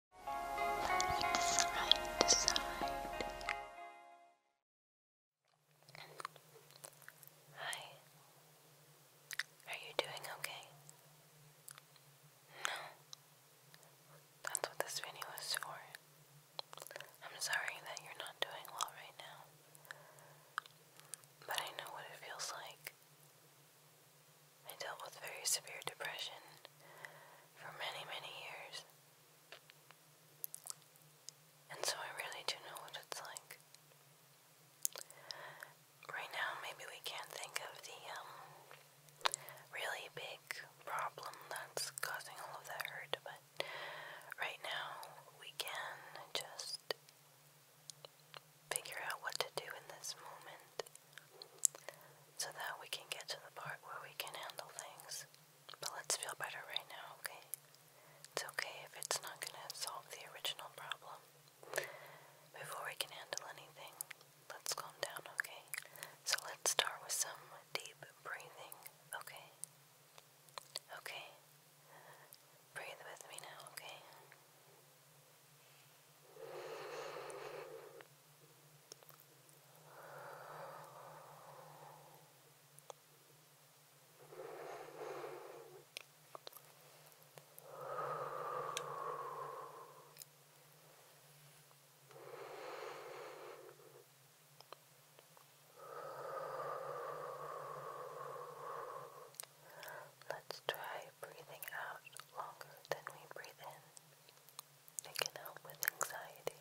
Hi. Are you doing okay? No. That's what this video is for. I'm sorry that you're not doing well right now. But I know what it feels like. I dealt with very severe depression for many, many years. And so I really do know what it's like. Right now, maybe we can't think of the um, really big problem that's causing all of that hurt, but right now we can just figure out what to do in this moment so that we can get to the part where we can handle things. But let's feel better right now, okay? It's okay if it's not going to solve the original problem. Before we can handle anything, let's calm down, okay? So let's start with some deep breathing, okay? Okay. Breathe with me now, okay? Let's try breathing out longer than we breathe in. It can help with anxiety.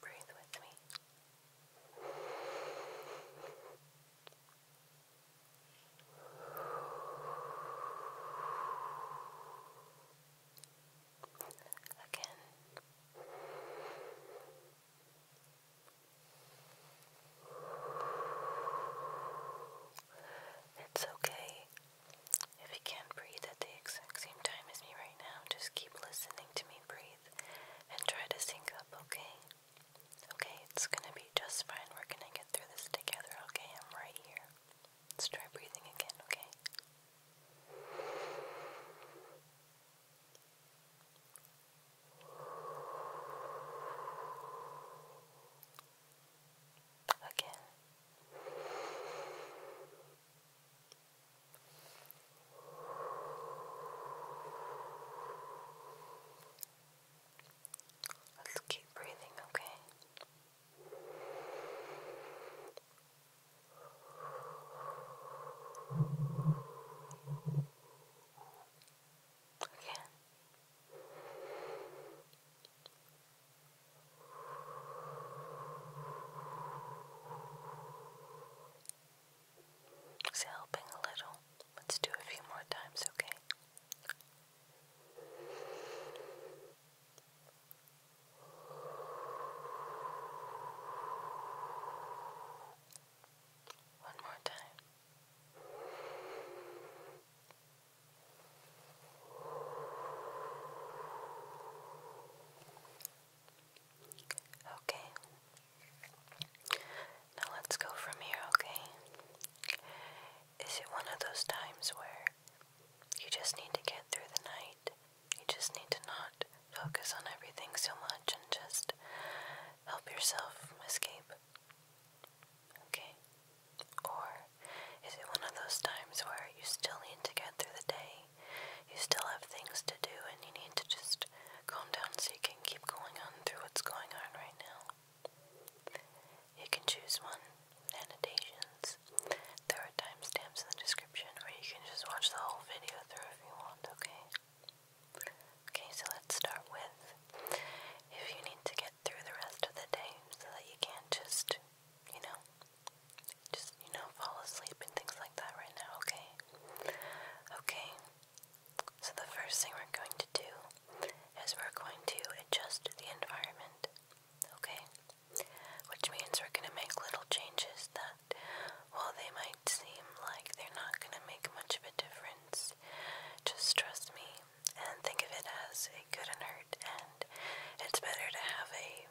Breathe with me. Again. It's okay if it can't breathe at the exact same time as me right now, just keep listening to me breathe and try to sync up, okay? Okay, it's gonna be just fine. We're gonna get through this together, okay? I'm right here. Let's try breathing again, okay? again. Let's keep breathing, okay? Again. It's helping a little. Let's do a few more times, okay? One more time. Okay. Now let's go from here, okay? Is it one of those times where you just need to get through the night? You just need to not focus on everything so much and just help yourself escape? Okay? Or is it one of those times where you still need to get through the day? You still have things to do and you need to just calm down so you can keep going on through what's going on right now. You can choose one, annotations. There are timestamps in the description where you can just watch the whole video through if you want, okay? Okay, so let's start with if you need to get through the rest of the day so that you can just, you know, just, you know, fall asleep and things like that right now, okay? Okay. So, the first thing we're going to do is we're going to adjust the environment, okay? Which means we're going to make little changes that, while they might seem like they're not going to make much of a difference, just trust me and think of it as a good and hurt, and it's better to have a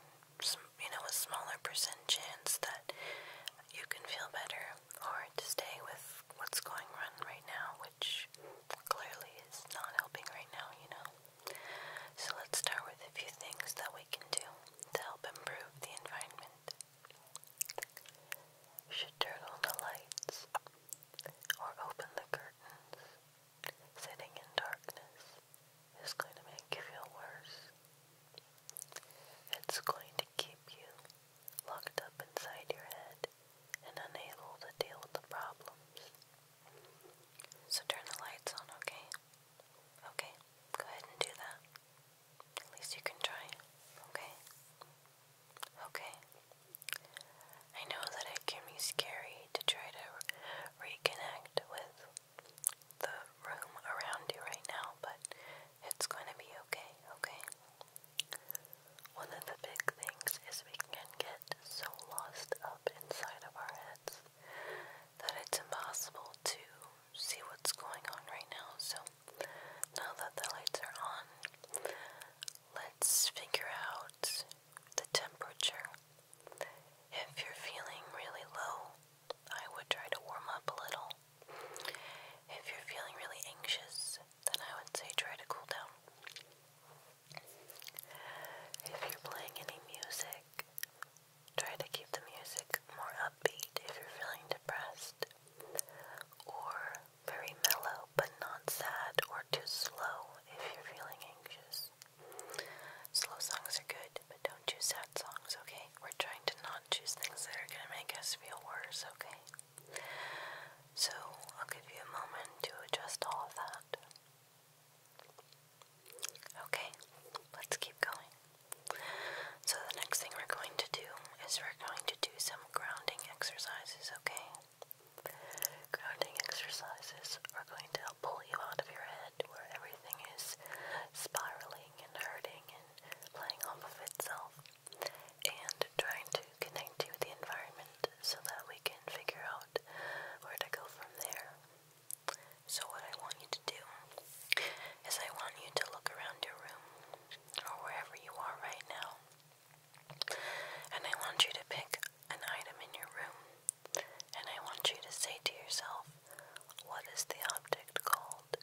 you know, a smaller percent chance that you can feel better or to stay with what's going on right now, which clearly is not helping right now, you know. So let's start with a few things that we can do to help improve the environment. You should turn on the lights or open the curtains. Sitting in darkness it's going to make you feel worse. It's going to keep you locked up inside your head and unable to deal with the problems. So turn the lights on, okay? Okay, go ahead and do that. At least you can try, okay? Okay. I know that it can be scary to try to reconnect with the room around you right now, but it's going to be okay, okay? One of the big things is we can get so lost up inside of our heads that it's impossible to see what's going on right now. So now that the lights are on, let's figure out the temperature if you're feeling really low, I would try to warm up a little. If you're feeling really anxious, then I would say try to cool down. If you're playing any music, try to keep the music more upbeat if you're feeling depressed or very mellow but not sad or too slow if you're feeling anxious. Slow songs are good, but don't choose sad songs, okay? We're trying to not choose things that are gonna make us feel worse, okay? So, I'll give you a moment to adjust all of that. Okay, let's keep going. So, the next thing we're going to do is we're going to do some grounding exercises, okay? Grounding exercises are going to help know, pull you out of your head where everything is spiraling and hurting and playing off of itself. And trying to connect you with the environment so that we can figure out where to go from there. So, what I want you to do is, I want you to look around your room or wherever you are right now, and I want you to pick an item in your room and I want you to say to yourself, what is the object called?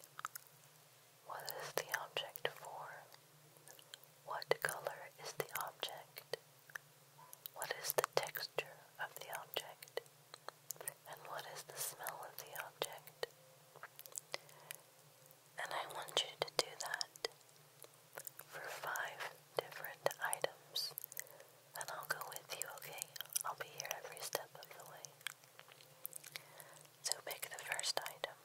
What is the object for? What color is the object? What is the texture of the object? And what is the smell of the object? And I want you to do that for five different items and I'll go with you, okay? I'll be here every step of the way. So pick the first item.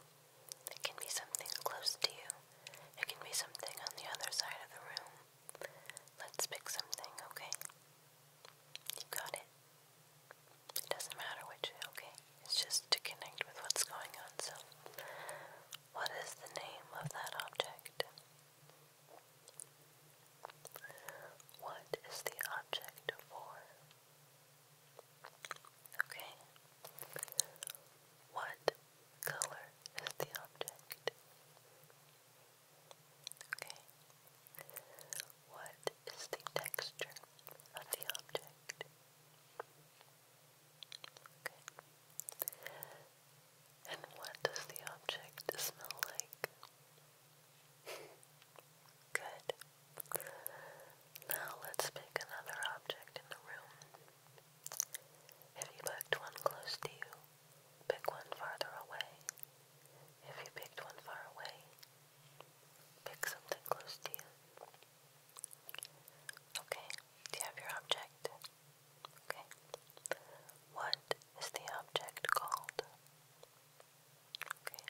It can be something close to you, it can be something on the other side of the room. Let's pick something, okay? You got it. It doesn't matter which, okay? It's just to connect with what's going on. So, what is the name of that object? What is the object for? Okay. What color is the object? Okay. What is the texture of the object? Okay. And what does the object smell like? Good. Now let's pick another object in the room. If you picked one close to you, pick one farther away. If you picked one far away, pick something close to you. Okay, do you have your object? Okay. What is the object called? Okay.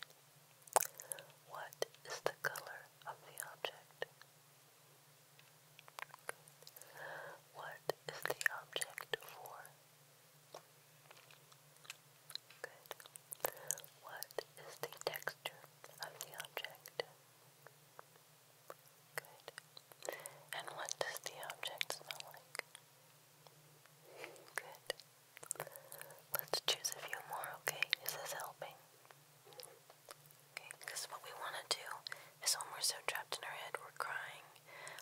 What is the color of the object? What is the object for? Good. What is the texture of the object? Good. And what does the object smell like? Good. Let's choose a few more, okay? Is this helping? Okay, because what we want to do is when we're so trapped in our head, we're crying.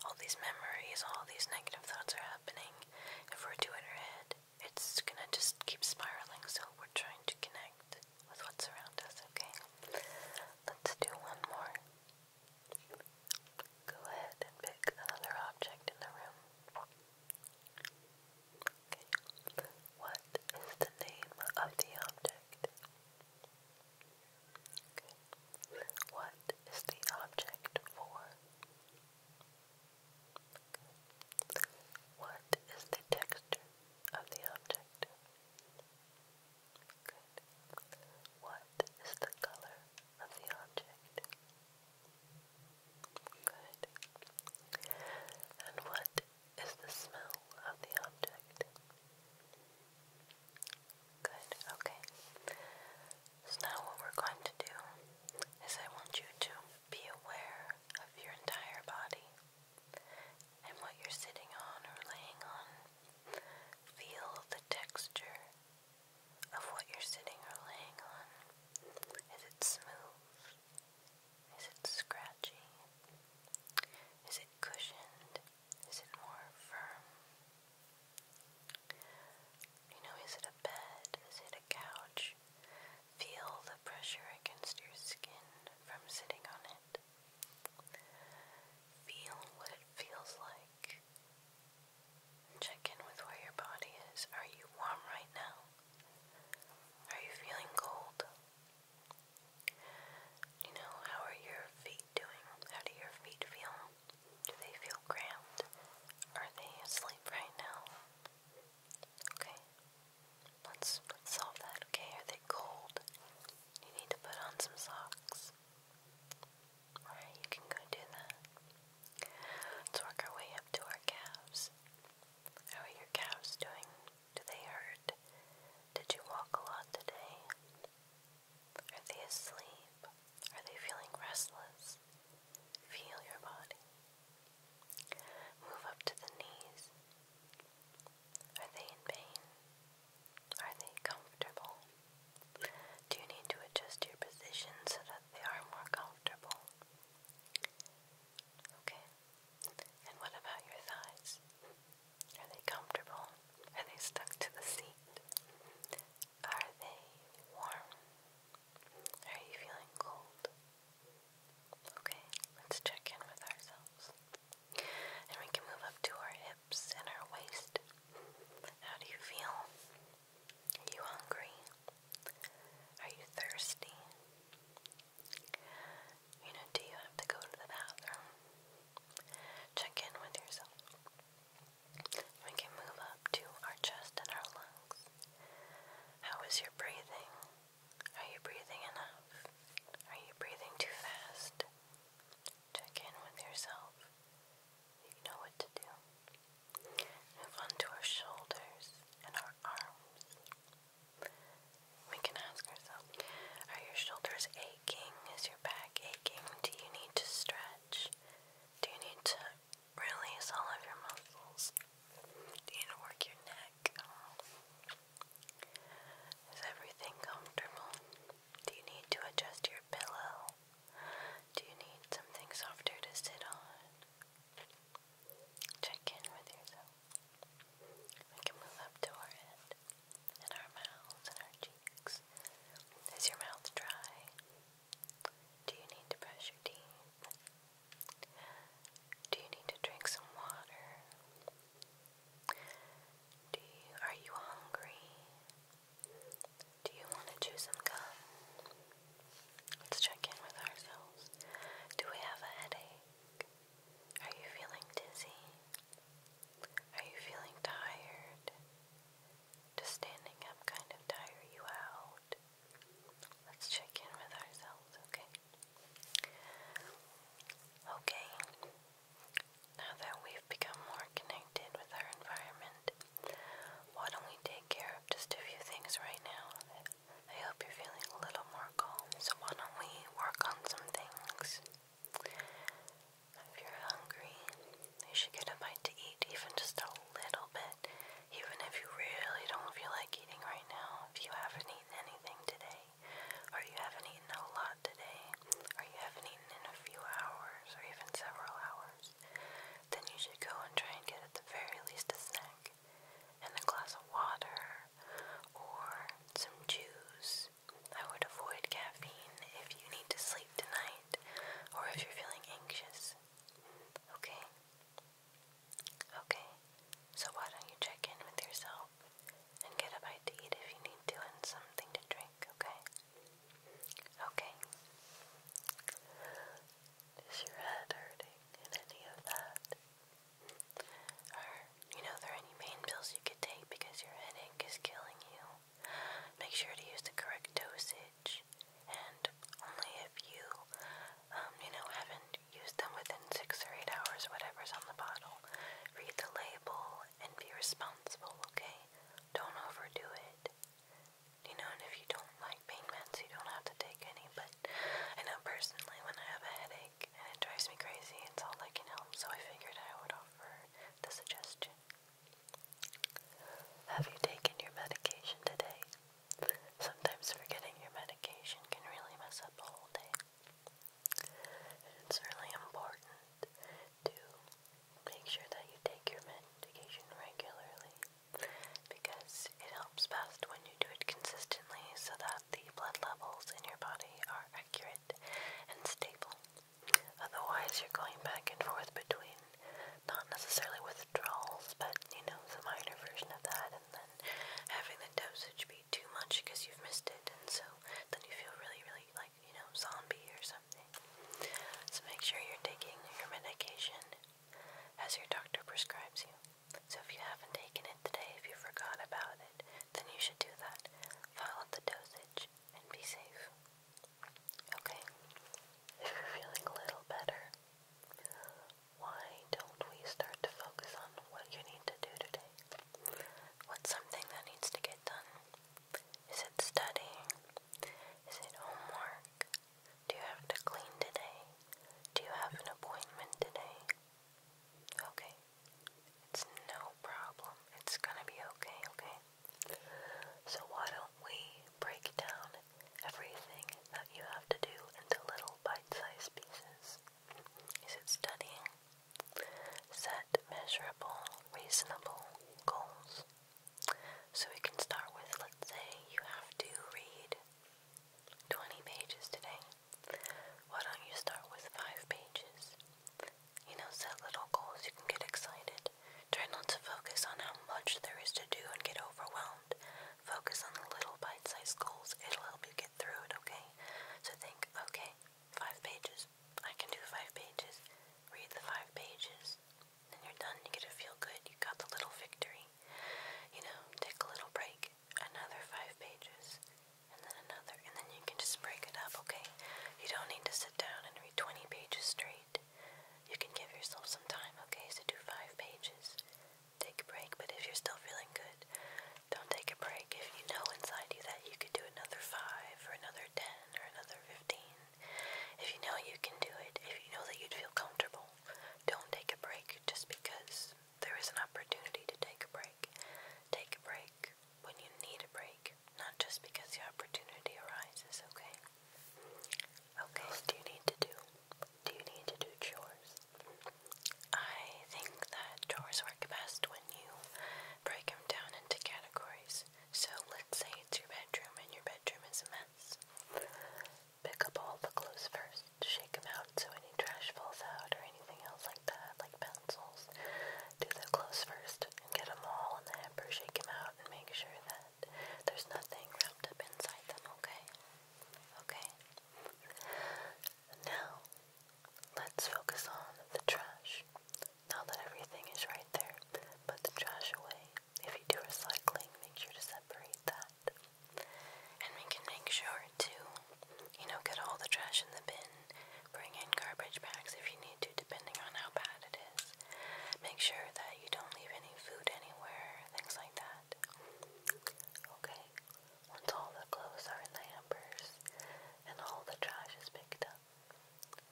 All these memories, all these negative thoughts are happening. If we're too in our head, it's gonna just keep spiraling, so we're trying to connect with what's around us, okay? Let's do one more. Go ahead and pick another object in the room. Okay. What is the name of the object? Okay. What is the object for? Okay. What is the texture of the object? Good. What is the color of the object? Good. And what is the smell of the object? Good, okay. So now what we're going to do is I want you to be aware of your entire body and what you're sitting on or laying on. Feel the texture of what you're sitting or laying on. Is it smooth? Is it scratchy? Is it cushioned? Is it more firm? You know, is it a bed? Is it a couch? Feel the pressure against your skin from sitting on it. Feel what it feels like Check in with where your body is. Are you warm right now? Are you feeling cold? You know, how are your feet doing? How do your feet feel? Do they feel cramped? Are they asleep right now? Okay. Let's, solve that, okay? Are they cold? You need to put on some socks. Alright, you can go do that. Let's work our way up to our calves. How are your calves doing? Do they hurt? Did you walk a lot today? Are they asleep? Are they feeling restless? Feel your body. Move up to the knees. Are they in pain? Are they comfortable? Do you need to adjust your position so that they are more comfortable? Okay. And what about your thighs? Are they comfortable? Are they stuck to the seat? Are they warm? Are you feeling cold? Okay, let's check in with ourselves. And we can move up to our hips and our waist. How do you feel? Are you hungry? Are you thirsty? You know, do you have to go to the bathroom? Check in with yourself. We can move up to our chest and our lungs. How is your breathing? Are you breathing enough? Are you breathing too fast? Check in with yourself. You know what to do. Move onto our shoulders and our arms. We can ask ourselves Are your shoulders aching? Is your back aching? Do you need to stretch? Do you need to release all of your muscles? Do you need to work your neck? Is everything comfortable? Do you need to adjust your pillow? Do you need something softer to sit on? Check in with yourself. We can move up to our head and our mouths and our cheeks. Is your mouth dry? Do you need to brush your teeth? Do you need to drink some water? Do you, are you hungry? Do you want to chew some gum? Let's check in with ourselves. Do we have a headache? Are you feeling dizzy? Are you feeling tired? Just standing up kind of tire you out? Let's check in with ourselves, okay? Okay, now that we've become more connected with our environment, why don't we take care of just a few things right now? I hope you're feeling a little more calm, so why don't we work on some things? If you're hungry, you should get a bite to eat, even just a little bit, even if you really don't feel like eating right now. If you haven't eaten anything today, or you haven't eaten a lot today, or you haven't eaten in a few hours, or even several hours, yours, then you should go and try and get at the very least a snack and a glass of water or some juice. I would avoid caffeine if you need to sleep tonight or if you're feeling anxious. Okay? Okay, so why don't you check in with yourself and get a bite to eat if you need to and something to drink, okay? Okay. Is your head hurting in any of that? Or, you know, there any pain pills you could take because your headache is killing you? Make sure to use the correct dosage, and only if you, um, you know, haven't used them within six or eight hours, whatever's on the bottle. Read the label and be responsible, okay? Don't overdo it. You know, and if you don't like pain meds, you don't have to take any. But I know personally, when I have a headache and it drives me crazy, it's all I can help. So I figured I would offer the suggestion. Have you taken your medication today? Sometimes forgetting your medication can really mess up a whole day. And it's really important to make sure that you take your medication regularly because it helps best when you do it consistently so that the blood levels in your body are accurate and stable. Otherwise, you're going back and forth between not necessarily withdrawals, but you know, the minor version of that, and then having the dosage be too much because you've missed it, and so then you feel really, really like you know, zombie or something. So make sure you're taking your medication as your doctor prescribes you. So if you haven't taken it today, if you forgot about it, then you should do that. Follow the dosage and be safe. Okay? If you're feeling a little better, why don't we start to focus on what you need to do today? What's something that needs to get done? Is it studying? Is it homework? Do you have to clean today? Do you have an appointment today? Okay. It's no problem. It's gonna be okay, okay? So why don't we break down everything that you have to do into little bite-sized pieces? Is it studying? Set measurable, reasonable goals. So we can start with let's say you have to read 20 pages today. Why don't you start with 5 pages? You know, set little goals. You can get excited. Try not to focus on how much there is to do and get overwhelmed. Focus on the little bite sized goals. It'll help you get through it, okay? So think, okay, 5 pages. I can do 5 pages. Read the 5 pages and you're done. You get to feel good. You got the little victory. You know, take a little break. Another five pages, and then another, and then you can just break it up. Okay, you don't need to sit down and read 20 pages straight. You can give yourself some time. Okay, so do five pages. Take a break, but if you're still feeling good, don't take a break. If you know inside you that you could do another five, or another ten, or another fifteen, if you know you can do it, if you know that you'd feel comfortable, don't take a break just because there is an opportunity to take a break. Take a break when you need a break, not just because the opportunity arises, okay? Okay, what do you need to do? Do you need to do chores? I think that chores work best when you break them down into categories. So let's say it's your bedroom and your bedroom is a mess pick up all the clothes first, shake them out so any trash falls out or anything else like that, like pencils. Do the clothes first and get them all in the hamper, shake them out and make sure that there's nothing wrapped up inside them, okay? Okay. Now, let's focus on the trash. Now that everything is right there, Put the trash away. If you do recycling, make sure to separate that. And we can make sure to, you know, get all the trash in the bin. Bring in garbage bags if you need to, depending on how bad it is. Make sure that you don't leave any food anywhere, things like that. Okay, once all the clothes are in the hampers and all the trash is picked up,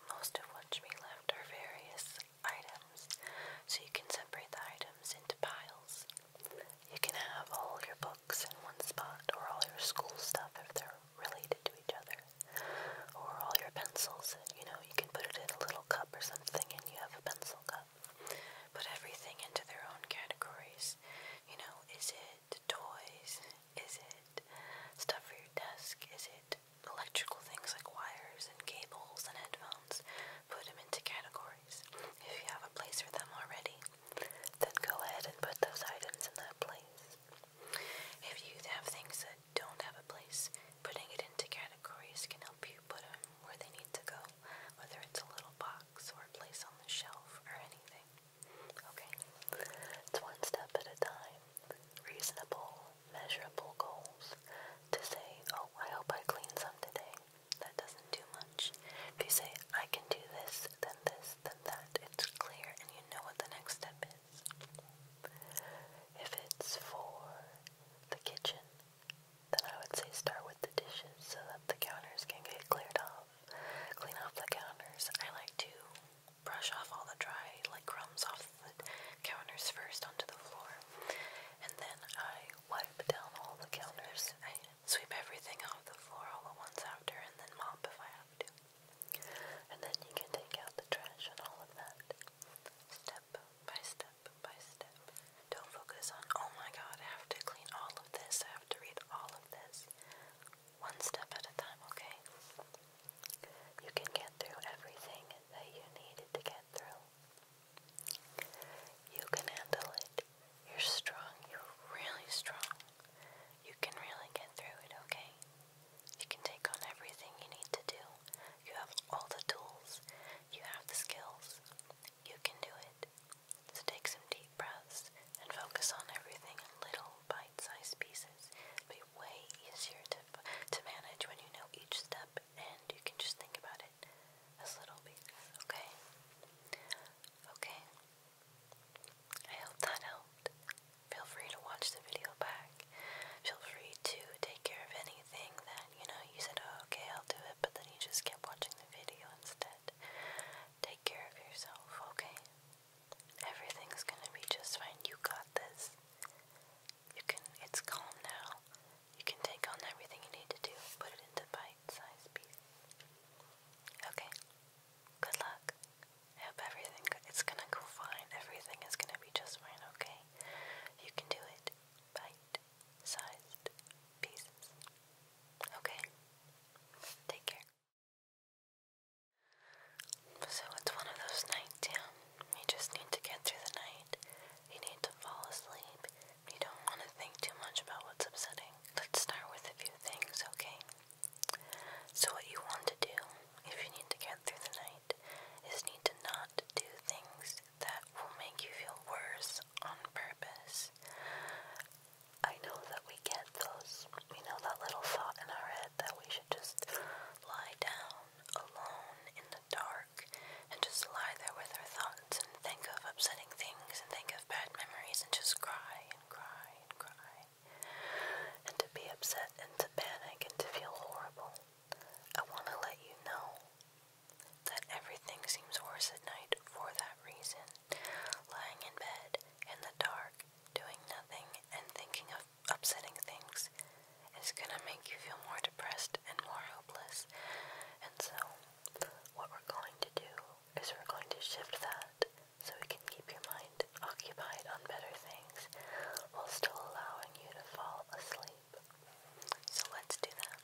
most of what's be left are various items, so you can separate the items into piles. You can have all your books in one spot, or all your school stuff if they're related to each other, or all your pencils. You know, you can put it in a little cup or something, and you have a pencil cup. Put everything into their own categories. You know, is it toys? Is it stuff for your desk? Is it electrical things like wires and cables and headphones? put them into categories. If you have a place for them already, then go ahead and put those items in that place. If you have things that don't have a place, putting it into categories can help you put them where they need to go, whether it's a little box or a place on the shelf or anything. Okay? It's one step at a time. Reasonable measurable goals. To say, oh, I hope I clean some today, that doesn't do much. If you say, I can do this, then this, then that, it's clear and you know what the next step is. If it's for the kitchen, then I would say start with the dishes so that the counters can get cleared off. Clean off the counters. I like to brush off all the dry like crumbs off the counters first onto the floor. And then I Wipe down all the counters. I sweep everything off the floor all at once after and then mop if I have to. And then you can take out the trash and all of that. Step by step by step. Don't focus on, oh my god, I have to clean all of this, I have to read all of this. One step at a time, okay? You can get through everything that you needed to get through. You can handle it. You're strong. You're really strong. You can really get through it, okay? You can take on everything you need to do. You have all the tools. You have the skills. You can do it. So take some deep breaths and focus on everything in little bite-sized pieces. It'll be way easier to to manage when you know each step and you can just think about it it little pieces, okay? Okay. I hope that helped. Feel free to watch the video back. Feel free to take care of anything that, you know, you said, oh, okay, I'll do it, but then you just kept watching the video instead. Take care of yourself, okay? Everything's gonna be just fine. You got this. You can, it's calm now. You can take on everything you need to do, put it into bite-sized pieces. Okay. Good luck. I hope everything, it's gonna go fine. Everything is gonna be just fine, okay? You can do it. Bite-sized pieces. Okay? Take care. So it's one of those nights, yeah. You just need to get through the night. You need to fall asleep. You don't want to think too much about what's upsetting. Let's start with a few things, okay? So, what you want to do, if you need to get through the night, is need to not do things that will make you feel worse on purpose. I know that we get those, We know, that little thought in our head that we should just lie down alone in the dark and just lie there with her thoughts and think of upsetting things and think of bad memories and just cry and cry and cry. And to be upset and to panic and to feel horrible. I want to let you know that everything seems worse at night for that reason. Lying in bed, in the dark, doing nothing, and thinking of upsetting things is gonna make you feel more depressed and more hopeless. And so, what we're going to do is we're going to shift that so we can keep your mind occupied on better things while still allowing you to fall asleep. So, let's do that.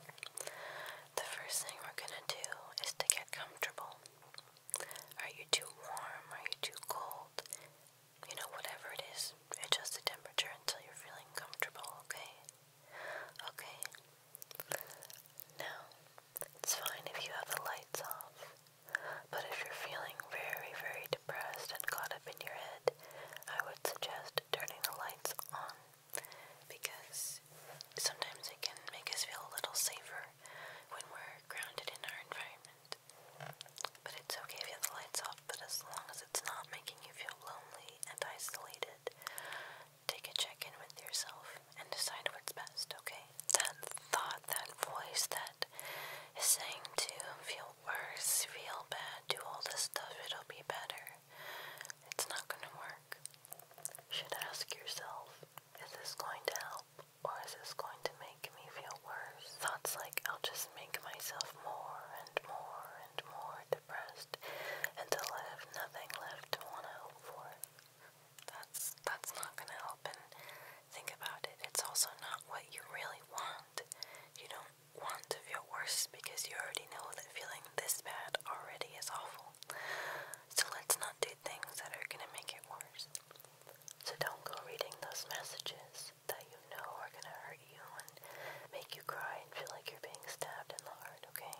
The first thing we're going to do is to get comfortable. Are you too warm? Are you too cold? you know, whatever it is, adjust the temperature until you're feeling comfortable, okay? Okay. Now, it's fine if you have the lights off, but if you're feeling very, very depressed and caught up in your head, I would suggest turning the lights on because sometimes it can make us feel a little safer when we're grounded in our environment. But it's okay if you have the lights off, but as long as it's not making you feel lonely and isolated, take a check in with yourself and decide what's best, okay? That thought, that voice that is saying to feel worse, feel bad, do all this stuff, it'll be better. It's not gonna work. You should ask yourself, is this going to help or is this going to make me feel worse. Thoughts like, I'll just make myself more and more and more depressed until I have nothing left to want to hope for. That's, that's not going to help. And think about it. It's also not what you really want. You don't want to feel worse because you already know that feeling this bad already is awful. So let's not do things that are going to make it worse. So don't go reading those messages that you know are gonna hurt you and make you cry and feel like you're being stabbed in the heart, okay?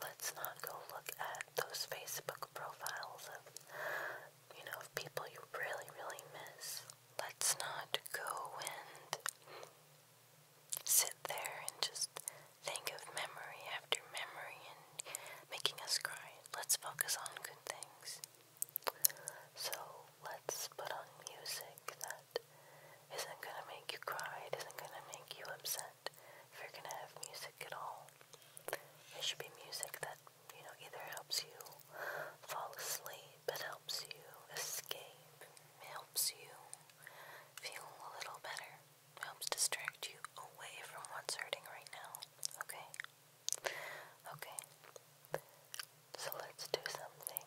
Let's not go look at those Facebook profiles of, you know, of people you really, really miss. Let's not go and sit there and just think of memory after memory and making us cry. Let's focus on good things. So let's put on music that isn't gonna make you cry, it isn't gonna make you upset. If you're gonna have music at all, it should be music that, you know, either helps you fall asleep, it helps you escape, helps you feel a little better, helps distract you away from what's hurting right now. Okay? Okay. So let's do something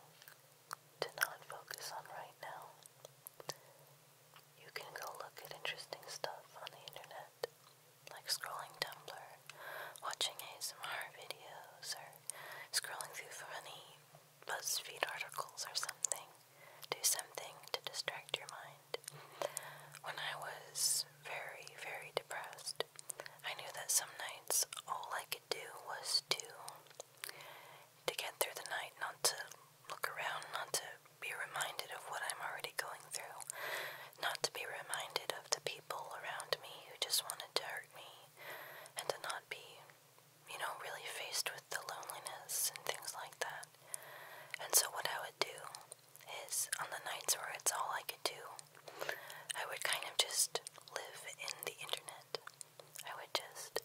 to not focus on right now. You can go look at interesting stuff on the internet, like scrolling Tumblr, watching ASMR videos, or scrolling through funny BuzzFeed articles or something. Do something to distract your mind. When I was very, very depressed, I knew that some nights all I could could do was to to get through the night, not to look around, not to be reminded of what I'm already going through, not to be reminded of the people around me who just wanted to hurt me, and to not be, you know, really faced with the loneliness and things like that. And so what I would do is on the nights where it's all I could do I would kind of just live in the internet. I would just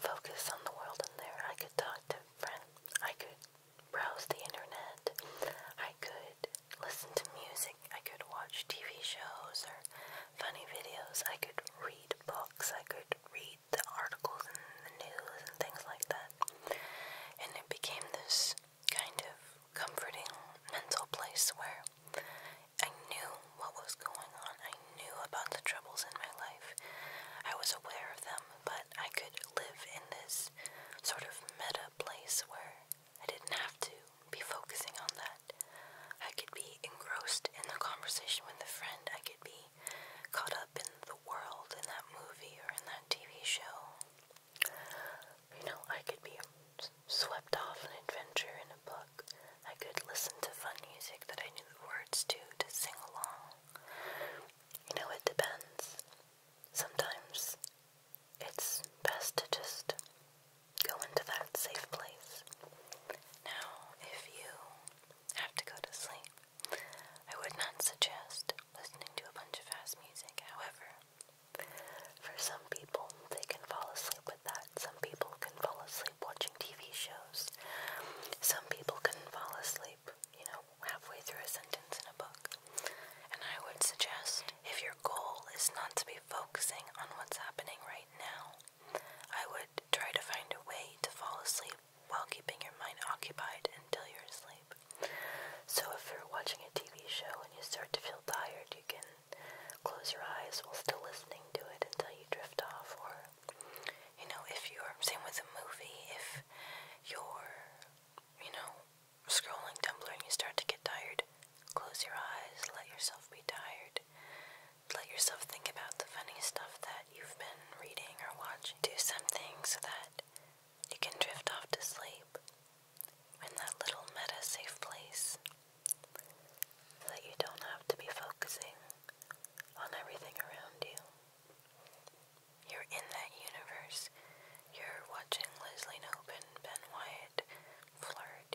focus on the world in there. I could talk to friends. I could browse the internet. I could listen to music. I could watch TV shows or funny videos. I could read books. I could read the articles and the news and things like that. And it became this kind of comforting mental place where I knew what was going on. I knew about the troubles in my life. I was aware of them, but I could live in this sort of meta place where I didn't have to be focusing on that. I could be engrossed in the conversation with the friend. I could be caught up in the world, in that movie or in that TV show. You know, I could be swept off an adventure in a book, I could listen to fun music that I knew the words to to sing along. You know, it depends. Sometimes it's best to just go into that safe place. Now, if you have to go to sleep, I would not suggest listening to a bunch of fast music. However, for some people, they can fall asleep with that. Some people can fall asleep watching TV shows. Some people can fall asleep, you know, halfway through a sentence in a book. And I would suggest if your goal is not to be focusing on what's happening right now, I would try to find a way to fall asleep while keeping your mind occupied until you're asleep. So if you're watching a TV show and you start to feel tired, you can close your eyes while still listening to it until you drift off. Or, you know, if you're, same with a movie, if you're, you know, scrolling Tumblr and you start to get tired, close your eyes, let yourself be tired. Let yourself think about the funny stuff that you've been reading or watching. Do something so that you can drift off to sleep in that little meta safe place that you don't have to be focusing on everything around you. You're in that universe. You're watching Leslie Nobin, Ben Wyatt,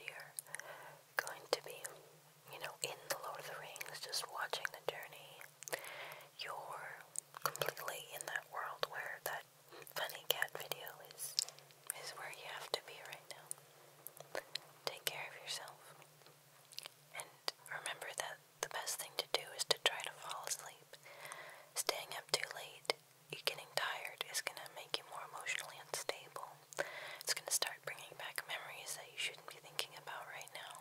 You're Going to be, you know, in the Lord of the Rings, just watching the journey. You're completely in that world where that funny cat video is is where you have to be right now. Take care of yourself. And remember that the best thing to do is to try to fall asleep. Staying up too late, you getting tired, is going to make you more emotionally unstable. It's going to start bringing back memories that you shouldn't be thinking about right now.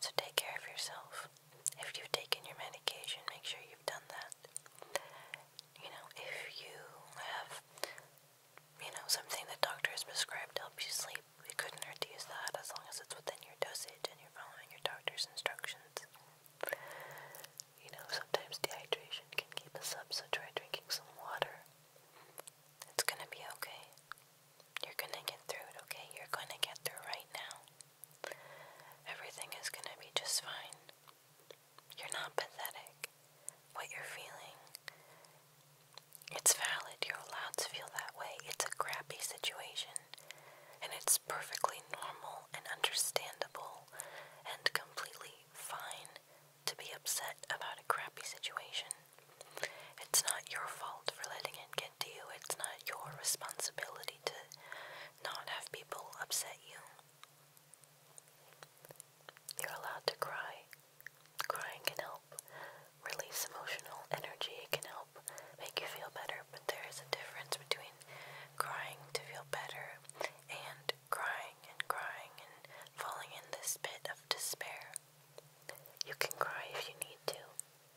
So take care of yourself. If you've taken your medication, make sure you've done that. You know, if you have you know, something that doctors prescribe to help you sleep. It couldn't hurt use that as long as it's within your dosage and you're following your doctor's instructions. You know, sometimes dehydration can keep us up, so try drinking some water. It's gonna be okay. You're gonna get through it, okay? You're gonna get through right now. Everything is gonna be just fine. You're not pathetic. What you're feeling, it's valid. You're allowed to feel that way. It's a crappy situation, and it's perfectly normal and understandable and completely fine to be upset about a crappy situation. It's not your fault for letting it get to you. It's not your responsibility to not have people upset you. You're allowed to cry. Crying can help release emotional energy, it can help make you feel better, but there is a difference between crying to feel better and crying and crying and falling in this pit of despair. You can cry if you need to.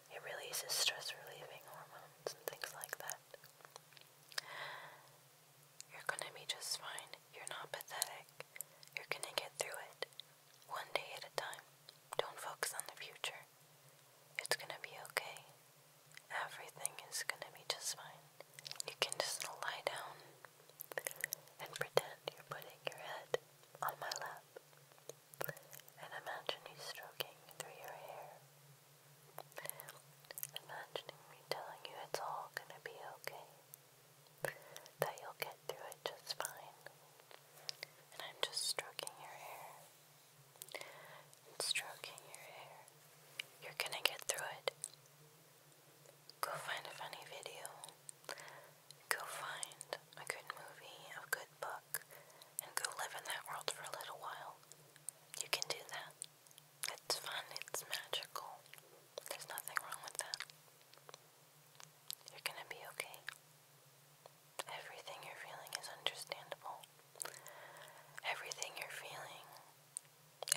It releases stress relieving hormones and things like that. You're gonna be just fine. You're not pathetic. You're gonna get through it. One day at a time. Don't focus on the future. It's gonna be okay. Everything is gonna be just fine. You can just lie down and pretend you're putting your head on my lap and imagining you stroking through your hair. Imagining me telling you it's all gonna be okay that you'll get through it just fine. And I'm just stroking your hair. stroking your hair. You're gonna get through it. Go find a funny video. Go find a good movie, a good book, and go live in that world for a little while. You can do that. It's fun, it's magical. There's nothing wrong with that. You're gonna be okay. Everything you're feeling is understandable. Everything you're feeling,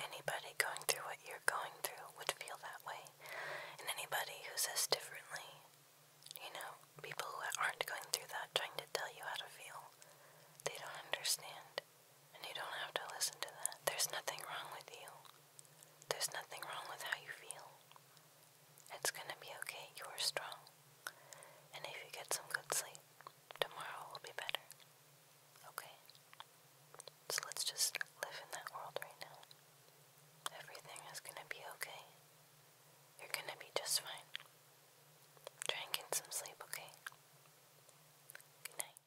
anybody going through what you're going through would feel that way. And anybody who says differently, you know, people who aren't going through that trying to tell you how to feel, they don't understand. And you don't have to listen to that. There's nothing wrong with you. There's nothing wrong with how you feel. It's gonna be okay. You are strong. And if you get some good sleep, tomorrow will be better. Okay? So let's just live in that world right now. Everything is gonna be okay. You're gonna be just fine. Try and get some sleep, okay? Good night.